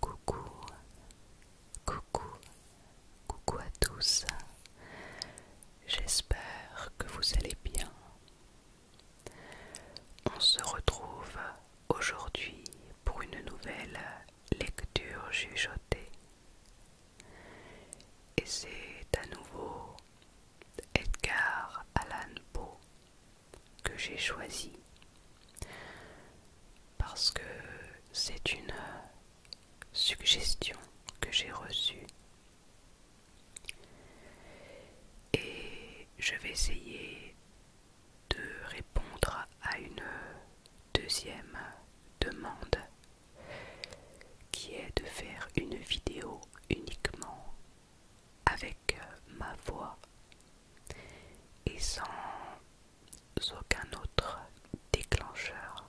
Coucou, coucou, coucou à tous. J'espère que vous allez bien. On se retrouve aujourd'hui pour une nouvelle lecture jugeotée. Et c'est à nouveau Edgar Allan Poe que j'ai choisi parce que c'est une euh, suggestion que j'ai reçue et je vais essayer de répondre à une deuxième demande qui est de faire une vidéo uniquement avec avec ma voix et sans aucun autre déclencheur,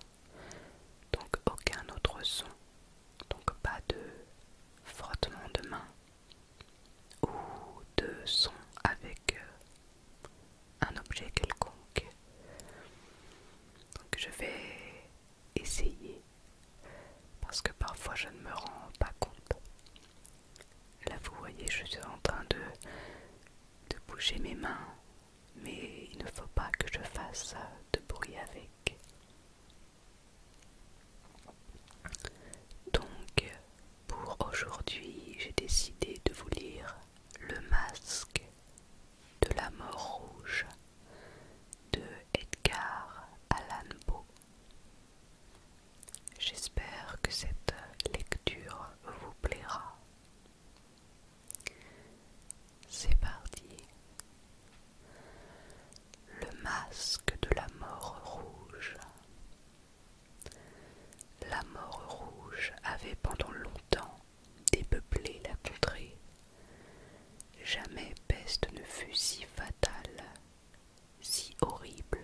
donc aucun autre son, donc pas de frottement de main ou de son avec euh, un objet quelconque. Donc je vais essayer parce que parfois je ne me rends pas compte Là, vous voyez, je suis en train de, de bouger mes mains, mais il ne faut pas que je fasse de bruit avec. Donc, pour aujourd'hui, j'ai décidé de vous lire Le masque de la mort rouge de Edgar Allan Poe. J'espère que cette lecture vous plaira. C'est parti. Le masque de la mort rouge. La mort rouge avait pendant longtemps dépeuplé la contrée. Jamais peste ne fut si fatale si horrible.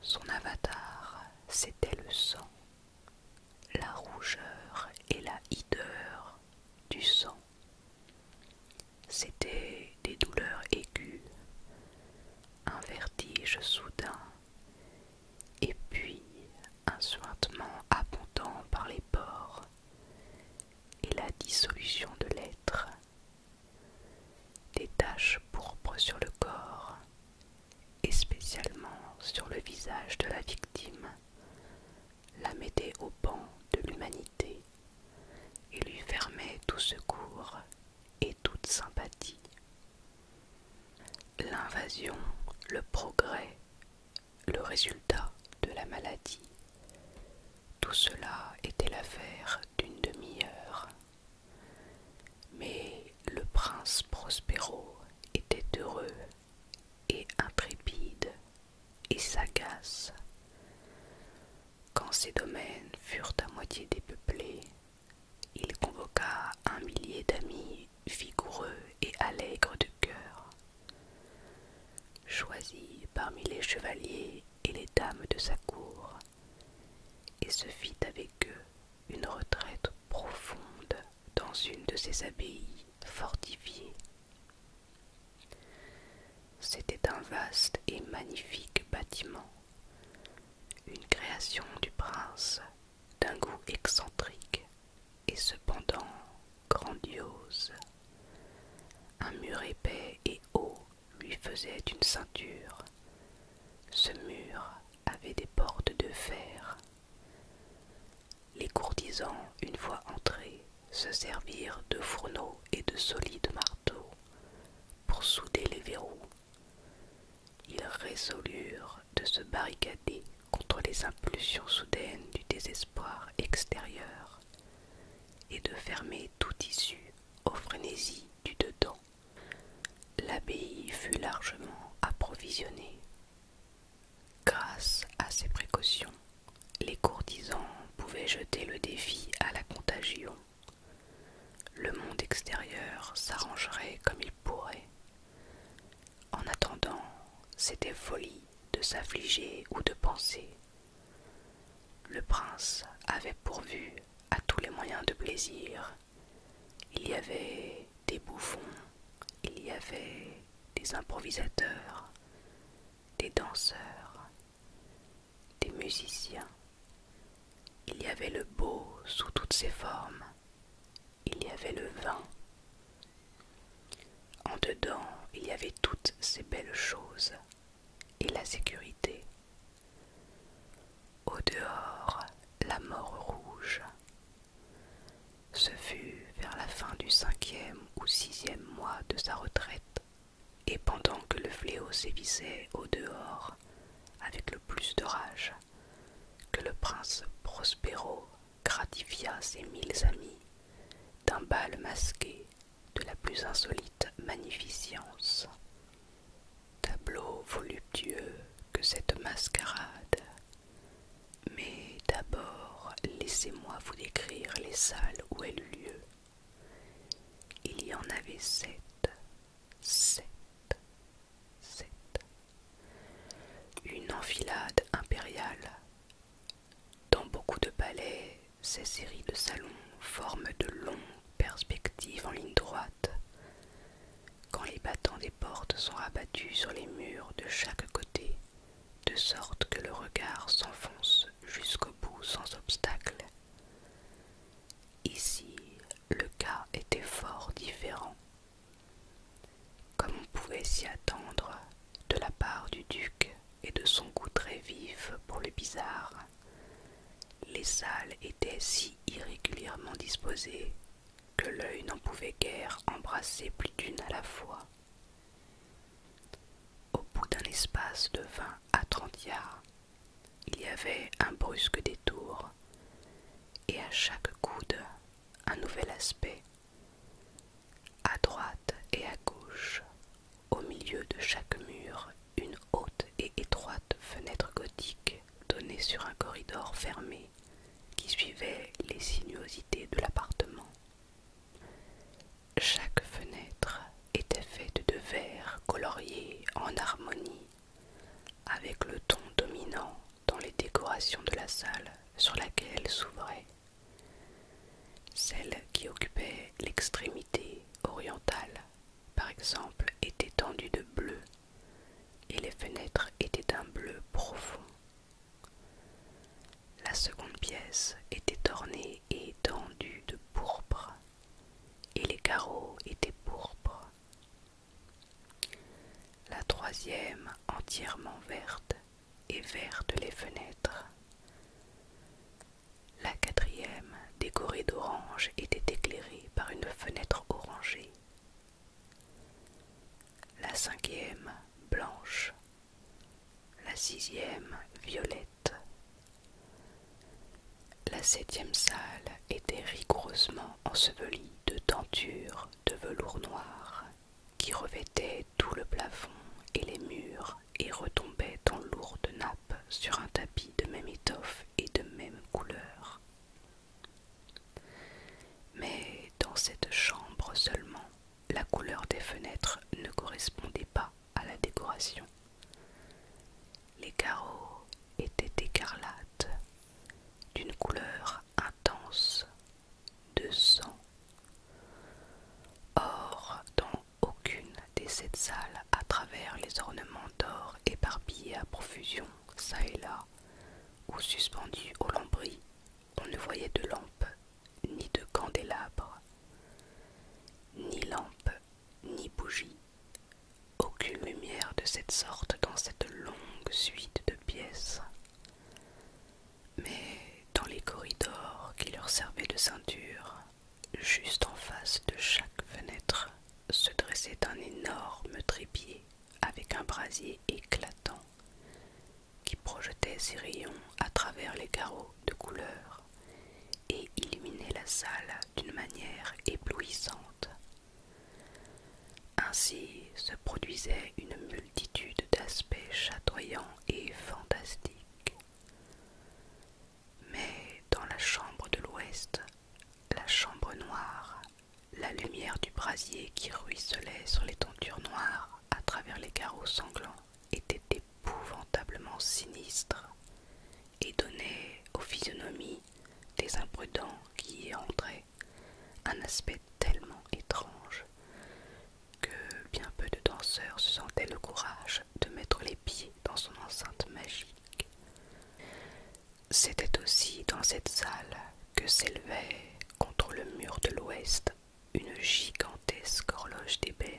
Son avatar, c'était le sang, la rougeur et la hideur du sang. C'était des douleurs aiguës, un vertige soudain, et puis un suintement abondant par les pores et la dissolution de l'être des taches pourpres sur le corps et spécialement sur le visage de la victime, la mettaient au banc de l'humanité et lui fermait tout secours et toute sympathie. L'invasion, le progrès, le résultat de la maladie, tout cela était l'affaire d'une demi-heure. Mais le prince Prospero était heureux et intrépide et sagace. Quand ses domaines furent à moitié dépeuplés, il convoqua un millier d'amis vigoureux et allègres de cœur. Choisis parmi les chevaliers et les dames de sa cour, et se fit avec eux une retraite profonde dans une de ses abbayes fortifiées. C'était un vaste et magnifique bâtiment, une création du prince d'un goût excentrique et cependant grandiose. Un mur épais et haut lui faisait une ceinture. Ce mur avait des portes de fer. Les courtisans, une fois entrés, se servirent de fourneaux et de solides marteaux pour souder les verrous. Ils résolurent de se barricader contre les impulsions soudaines du désespoir extérieur et de fermer tout issu aux frénésies du dedans. L'abbaye fut largement approvisionnée. Grâce à ces précautions, les courtisans pouvaient jeter le défi à la contagion. Le monde extérieur s'arrangerait comme il pourrait. En attendant, c'était folie de s'affliger ou de penser le prince avait pourvu à tous les moyens de plaisir. Il y avait des bouffons, il y avait des improvisateurs, des danseurs, des musiciens. Il y avait le beau sous toutes ses formes. Il y avait le vin. En dedans, il y avait toutes ces belles choses et la sécurité. Au dehors, la mort rouge. Ce fut vers la fin du cinquième ou sixième mois de sa retraite, et pendant que le fléau sévissait au dehors avec le plus de rage, que le prince Prospero gratifia ses mille amis d'un bal masqué de la plus insolite magnificence. Tableau voluptueux que cette mascarade. Mais d'abord, laissez-moi vous décrire les salles où elle eut lieu. Il y en avait sept, sept, sept. Une enfilade impériale. Dans beaucoup de palais, ces séries de salons forment de longues perspectives en ligne droite. Quand les battants des portes sont abattus sur les murs de chaque côté, de sorte que le regard s'enfonce jusqu'au bout sans obstacle. Ici, le cas était fort différent. Comme on pouvait s'y attendre de la part du duc, et de son goût très vif pour le bizarre. Les salles étaient si irrégulièrement disposées que l'œil n'en pouvait guère embrasser plus d'une à la fois. Au bout d'un espace de vingt à trente yards, il y avait un brusque détour, et à chaque coude un nouvel aspect à droite et à gauche, au milieu de chaque mur, une haute et étroite fenêtre gothique donnait sur un corridor fermé qui suivait les sinuosités de l'appartement. Chaque fenêtre était faite de verres coloriés en harmonie avec le ton dominant dans les décorations de la salle sur laquelle s'ouvrait celle qui occupait l'extrémité orientale, par exemple, était tendue de bleu et les fenêtres étaient d'un bleu profond. La seconde pièce était ornée et tendue de pourpre et les carreaux étaient pourpres. La troisième entièrement verte et vertes les fenêtres. La quatrième, décorée d'orange, était éclairée par une fenêtre orangée. La cinquième, blanche. La sixième, violette. La septième salle était rigoureusement ensevelie de tentures de velours noir qui revêtait tout le plafond et les murs et retombait en lourdes nappe sur un tapis de même étoffe et de même couleur. Mais dans cette chambre seulement, la couleur des fenêtres ne correspondait pas à la décoration. Les carreaux étaient écarlates, d'une couleur intense de sang. Or, dans aucune des sept salles, à travers les ornements d'or éparpillés à profusion, çà et là, ou suspendus au lambris, on ne voyait de lampes, ni de candélabre, ni lampes, ni bougies, aucune lumière de cette sorte dans cette longue suite de pièces mais dans les corridors qui leur servaient de ceinture, juste en face de chaque fenêtre, se dressait un énorme trépied avec un brasier éclatant qui projetait ses rayons à travers les carreaux de couleur et illuminait la salle d'une manière éblouissante. Ainsi se produisait une d'aspects chatoyants et fantastiques. Mais dans la chambre de l'ouest, la chambre noire, la lumière du brasier qui ruisselait sur les tentures noires à travers les carreaux sanglants était épouvantablement sinistre et donnait aux physionomies des imprudents qui y entraient un aspect tellement étrange que bien peu de danseurs se sentaient le courage de mettre les pieds dans son enceinte magique. C'était aussi dans cette salle que s'élevait, contre le mur de l'ouest, une gigantesque horloge d'ébène.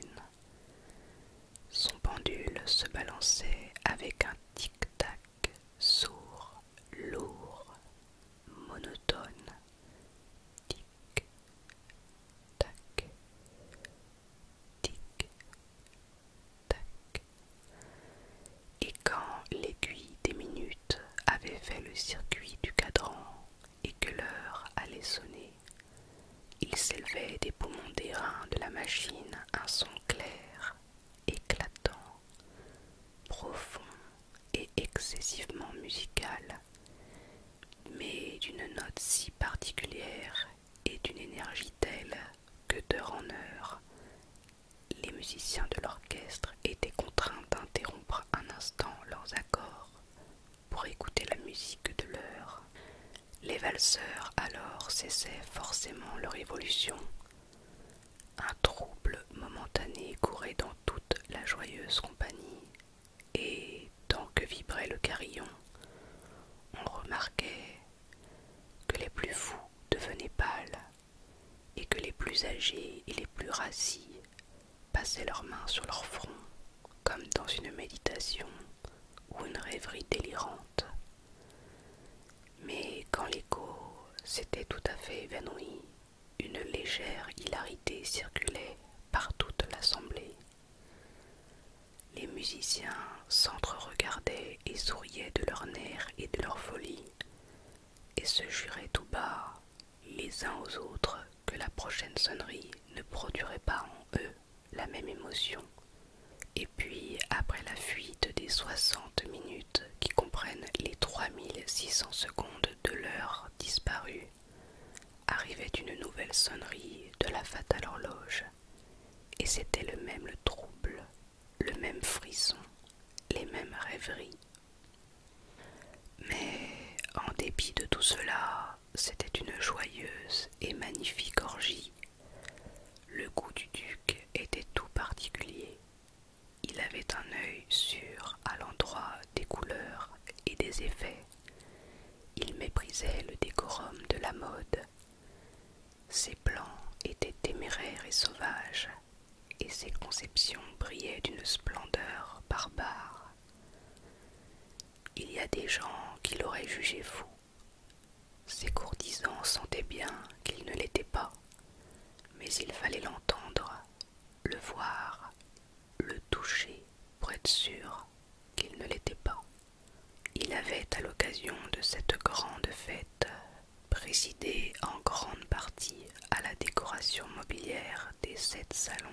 Son pendule se balançait avec un tic-tac sourd, lourd, monotone tic tac tic tac et quand l'aiguille des minutes avait fait le circuit du cadran et que l'heure allait sonner, il s'élevait des poumons d'airain de la machine un son clair, éclatant, profond et excessivement musicale, mais d'une note si particulière et d'une énergie telle que d'heure en heure, les musiciens de l'orchestre étaient contraints d'interrompre un instant leurs accords pour écouter la musique de l'heure. Les valseurs alors cessaient forcément leur évolution. Un trouble momentané courait dans toute la joyeuse compagnie, et tant que vibrait le carillon, on remarquait que les plus fous devenaient pâles et que les plus âgés et les plus rassis passaient leurs mains sur leur front comme dans une méditation ou une rêverie délirante. Mais quand l'écho s'était tout à fait évanoui, une légère hilarité circulait par toute l'assemblée. Les musiciens s'entre-regardaient et souriaient de leur nerfs et de leur folie, et se juraient tout bas, les uns aux autres, que la prochaine sonnerie ne produirait pas en eux la même émotion. Et puis, après la fuite des soixante minutes qui comprennent les trois mille six cents secondes de l'heure disparu, arrivait une nouvelle sonnerie de la fatale horloge, et c'était le même trouble, le même frisson, les mêmes rêveries. Mais en dépit de tout cela, c'était une joyeuse et magnifique orgie. Le goût du duc était tout particulier, il avait un œil sûr à l'endroit des couleurs et des effets. Il méprisait le décorum de la mode. Ses plans étaient téméraires et sauvages, et ses conceptions brillaient d'une splendeur barbare. Il y a des gens qui l'auraient jugé fou. Ses courtisans sentaient bien qu'il ne l'était pas, mais il fallait l'entendre le voir, le toucher pour être sûr qu'il ne l'était pas. Il avait, à l'occasion de cette grande fête, présidé en grande partie à la décoration mobilière des sept salons,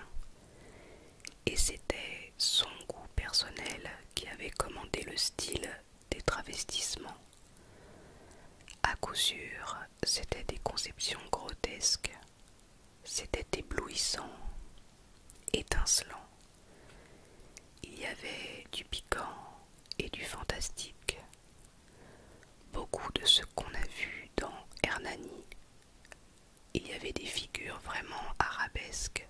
et c'était son goût personnel qui avait commandé le style des travestissements. À coup sûr, c'était des conceptions grotesques, c'était éblouissant, étincelant. Il y avait du piquant et du fantastique. Beaucoup de ce qu'on a vu dans Hernani. Il y avait des figures vraiment arabesques,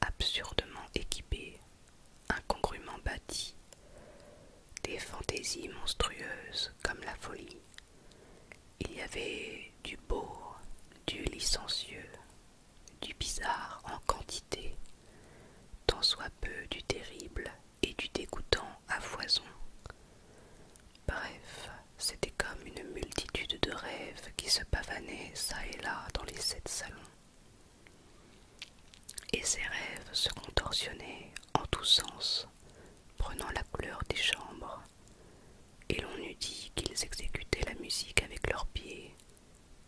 absurdement équipées, incongruement bâties, des fantaisies monstrueuses comme la folie. Il y avait du beau, du licencieux, du bizarre en quantité, tant soit peu du terrible et du dégoûtant à foison. Bref, c'était comme une multitude de rêves qui se pavanaient çà et là dans les sept salons. Et ces rêves se contorsionnaient en tous sens, prenant la couleur des chambres, et l'on eût dit qu'ils exécutaient la musique avec leurs pieds,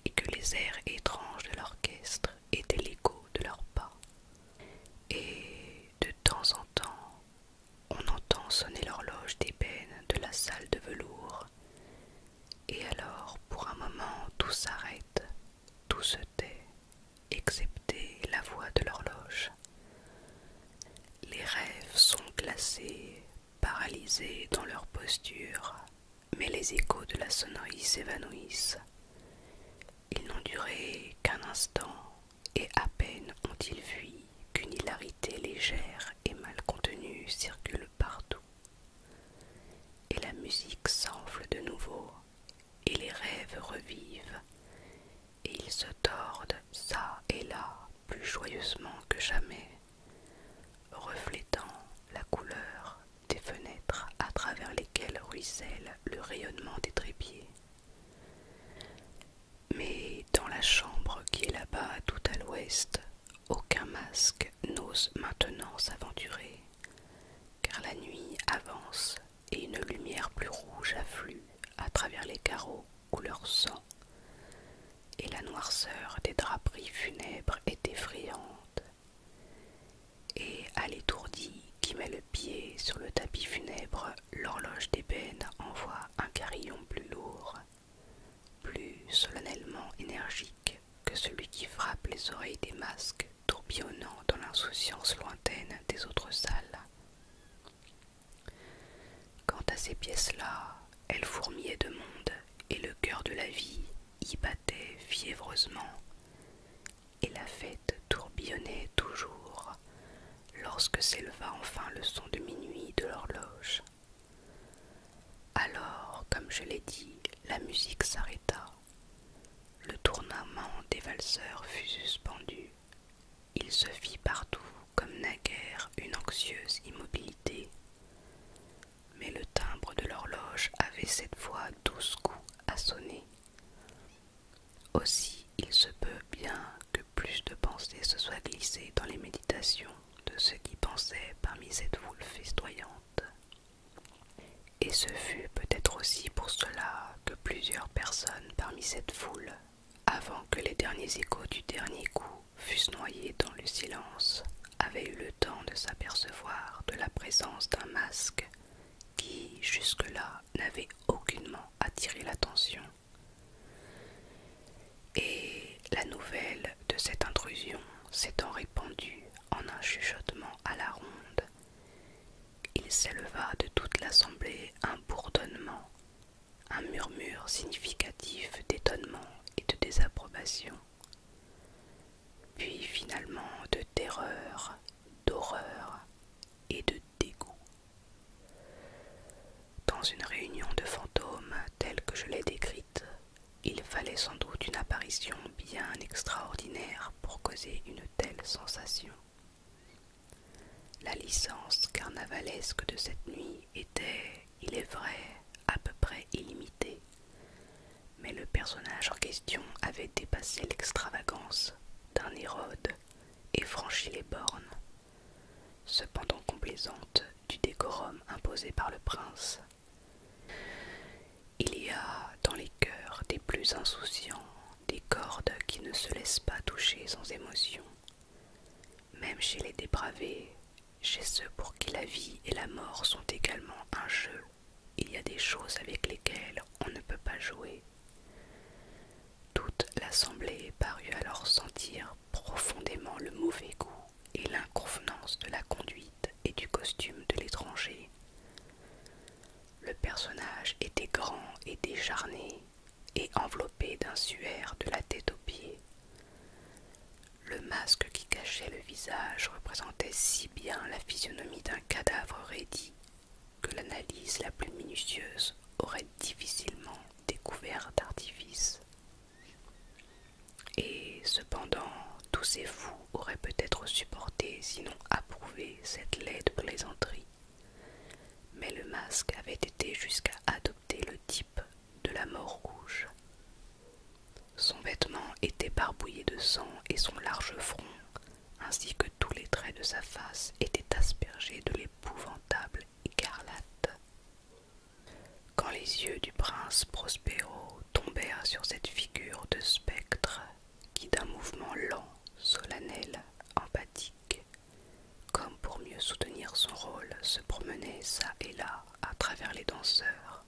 et que les airs étranges de l'orchestre étaient l'écho de leurs pas. Et de temps en temps, on entend sonner l'horloge d'ébène de la salle de velours, et alors pour un moment tout s'arrête, tout se tait, excepté la voix de l'horloge. Les rêves sont glacés, paralysés dans leur posture, mais les échos de la sonnerie s'évanouissent. Ils n'ont duré qu'un instant, et à peine ont-ils vu qu'une hilarité légère et mal contenue circule partout. Et la musique s'enfle de nouveau, et les rêves revivent, et ils se tordent çà et là plus joyeusement que jamais, reflétant la couleur des fenêtres à travers lesquelles ruisselle le rayonnement des trépieds. Mais dans la chambre qui est là-bas tout à l'ouest, aucun masque n'ose maintenant s'aventurer, car la nuit avance et une lumière plus rouge afflue à travers les carreaux couleur sang, et la noirceur des draperies funèbres est effrayante. Et à l'étourdi qui met le pied sur le tapis funèbre, l'horloge d'ébène envoie un carillon plus lourd, plus solennellement énergique que celui qui frappe les oreilles des masques tourbillonnant dans l'insouciance lointaine des autres salles. Quant à ces pièces-là, elles fourmillaient de monde, et le cœur de la vie y battait fiévreusement, et la fête tourbillonnait toujours lorsque s'éleva enfin le son de minuit de l'horloge. Alors, comme je l'ai dit, la musique s'arrêta. Le tournament des valseurs fut suspendu. Il se fit partout, comme naguère, une anxieuse immobilité. Mais le timbre de l'horloge avait cette fois douze coups à sonner. Aussi, il se peut bien que plus de pensées se soient glissées dans les méditations de ceux qui pensaient parmi cette foule festoyante. Et ce fut peut-être aussi pour cela que plusieurs personnes parmi cette foule, avant que les derniers échos du dernier coup fussent noyés dans le silence, avaient eu le temps de s'apercevoir de la présence d'un masque qui, jusque-là, n'avait aucunement attiré l'attention. Et la nouvelle de cette intrusion s'étant répandue en un chuchotement à la ronde, il s'éleva de toute l'assemblée un bourdonnement, un murmure significatif d'étonnement et de désapprobation, puis finalement de terreur, d'horreur et de dégoût. Dans une réunion de fantômes telle que je l'ai décrite, il fallait sans doute une apparition bien extraordinaire pour causer une telle sensation. La licence carnavalesque de cette nuit était, il est vrai, à peu près illimitée, mais le personnage en question avait dépassé l'extravagance d'un Hérode et franchi les bornes, cependant complaisante du décorum imposé par le prince. Il y a dans les cœurs des plus insouciants des cordes qui ne se laissent pas toucher sans émotion. Même chez les dépravés, chez ceux pour qui la vie et la mort sont également un jeu, il y a des choses avec lesquelles on ne peut pas jouer. Toute l'assemblée parut alors sentir profondément le mauvais goût et l'inconvenance de la conduite et du costume de l'étranger le personnage était grand et décharné et enveloppé d'un suaire de la tête aux pieds. Le masque qui cachait le visage représentait si bien la physionomie d'un cadavre raidi que l'analyse la plus minutieuse aurait difficilement découvert d'artifice. Et cependant, tous ces fous aurait peut-être supporté, sinon approuvé, cette laide plaisanterie. Mais le masque avait été jusqu'à adopter le type de la mort rouge. Son vêtement était barbouillé de sang et son large front, ainsi que tous les traits de sa face, étaient aspergés de l'épouvantable écarlate. Quand les yeux du prince Prospero tombèrent sur cette figure de spectre qui d'un mouvement lent, solennel, empathique, comme pour mieux soutenir son rôle, se promenait çà et là à travers les danseurs.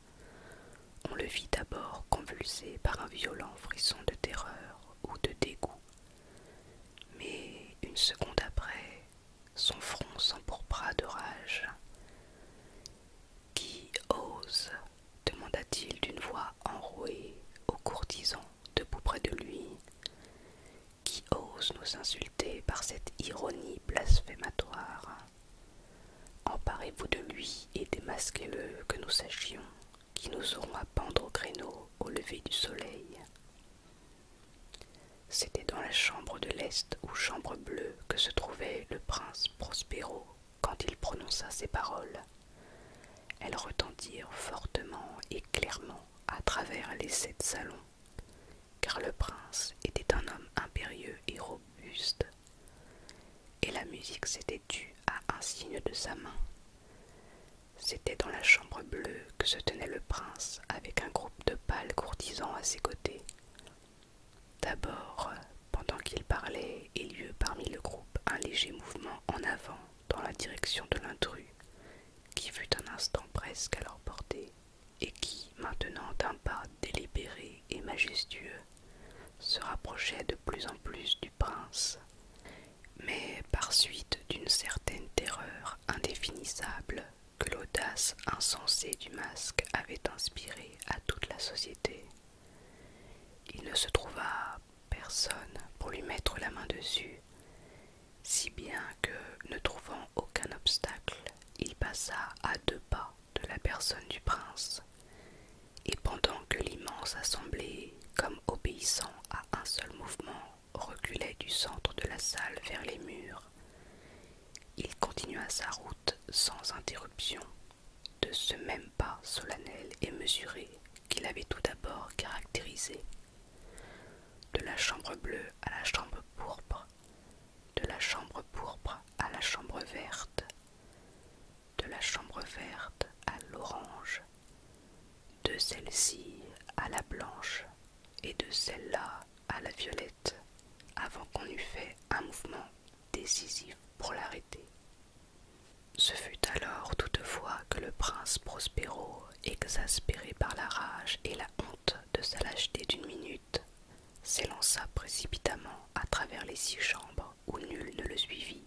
On le vit d'abord convulsé par un violent frisson de terreur ou de dégoût, mais une seconde après, son front s'empourpra de rage. Qui ose demanda-t-il d'une voix enrouée au courtisans debout près de lui. Qui ose nous insulter par cette ironie blasphématoire Emparez-vous de lui et démasquez-le, que nous sachions qui nous aurons à pendre au créneau au lever du soleil. C'était dans la chambre de l'Est ou chambre bleue que se trouvait le prince Prospero quand il prononça ces paroles. Elles retentirent fortement et clairement à travers les sept salons, car le prince était un homme impérieux et robuste, et la musique s'était tue à un signe de sa main. C'était dans la chambre bleue que se tenait le prince avec un groupe de pâles courtisans à ses côtés, D'abord, pendant qu'il parlait, il eut parmi le groupe un léger mouvement en avant dans la direction de l'intrus, qui fut un instant presque à leur portée, et qui, maintenant d'un pas délibéré et majestueux, se rapprochait de plus en plus du prince, mais par suite d'une certaine terreur indéfinissable que l'audace insensée du masque avait inspirée à toute la société. Il ne se trouva personne pour lui mettre la main dessus, si bien que, ne trouvant aucun obstacle, il passa à deux pas de la personne du prince, et pendant que l'immense assemblée, comme obéissant à un seul mouvement, reculait du centre de la salle vers les murs, il continua sa route sans interruption de ce même pas solennel et mesuré qu'il avait tout d'abord caractérisé, de la chambre bleue à la chambre pourpre, de la chambre pourpre à la chambre verte, de la chambre verte à l'orange, de celle-ci à la blanche et de celle-là à la violette avant qu'on eût fait un mouvement décisif pour l'arrêter. Ce fut alors toutefois que le prince Prospero, exaspéré par la rage et la honte de sa lâcheté d'une minute, s'élança précipitamment à travers les six chambres où nul ne le suivit,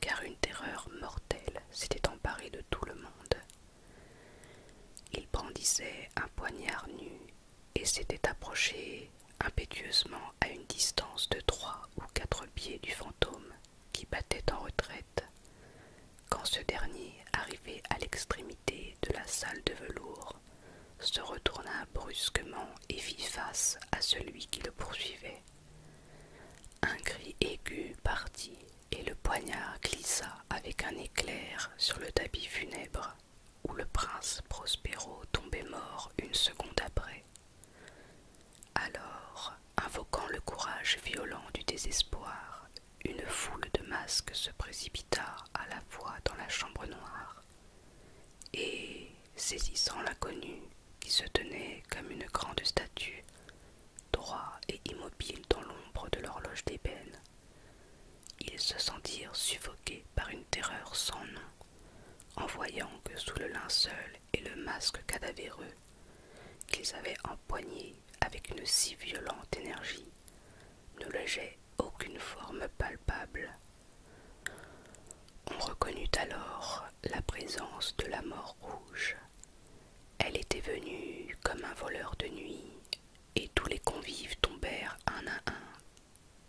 car une terreur mortelle s'était emparée de tout le monde. Il brandissait un poignard nu et s'était approché impétueusement à une distance de trois ou quatre pieds du fantôme qui battait en retraite, quand ce dernier, arrivé à l'extrémité de la salle de velours, se retourna brusquement et fit face à celui qui le poursuivait. Un cri aigu partit, et le poignard glissa avec un éclair sur le tapis funèbre où le prince Prospero tombait mort une seconde après. Alors, invoquant le courage violent du désespoir, une foule de masques se précipita à la fois dans la chambre noire et, saisissant l'inconnu, qui se tenait comme une grande statue, droit et immobile dans l'ombre de l'horloge d'ébène, ils se sentirent suffoqués par une terreur sans nom, en voyant que sous le linceul et le masque cadavéreux qu'ils avaient empoigné avec une si violente énergie, ne logeait aucune forme palpable. On reconnut alors la présence de la mort rouge. Elle était venue comme un voleur de nuit, et tous les convives tombèrent un à un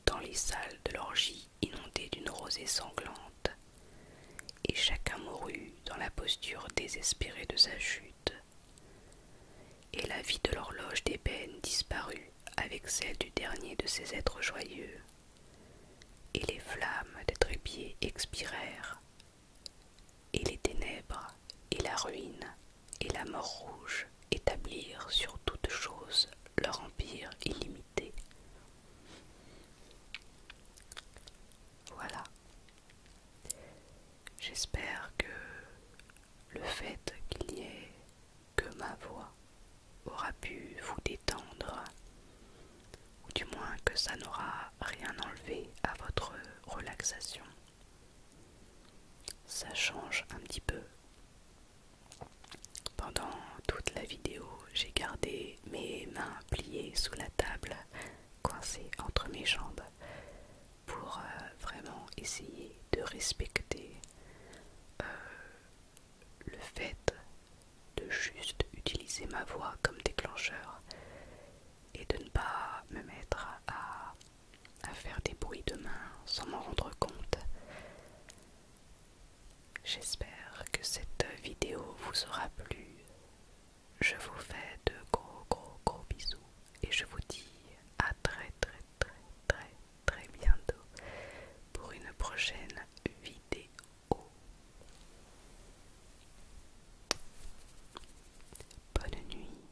dans les salles de l'orgie inondées d'une rosée sanglante, et chacun mourut dans la posture désespérée de sa chute. Et la vie de l'horloge d'ébène disparut avec celle du dernier de ces êtres joyeux, et les flammes des trépieds expirèrent, et les ténèbres et la ruine et la mort rouge établir sur toutes choses leur empire illimité. Voilà. J'espère que le fait qu'il n'y ait que ma voix aura pu vous détendre, ou du moins que ça n'aura rien enlevé à votre relaxation ça change un petit peu. Pendant toute la vidéo, j'ai gardé mes mains pliées sous la table, coincées entre mes jambes, pour euh, vraiment essayer de respecter euh, le fait de juste utiliser ma voix comme déclencheur et de ne pas me mettre à à faire des bruits demain sans m'en rendre compte. J'espère que cette vidéo vous aura plu. Je vous fais de gros gros gros bisous et je vous dis à très très très très très bientôt pour une prochaine vidéo. Bonne nuit.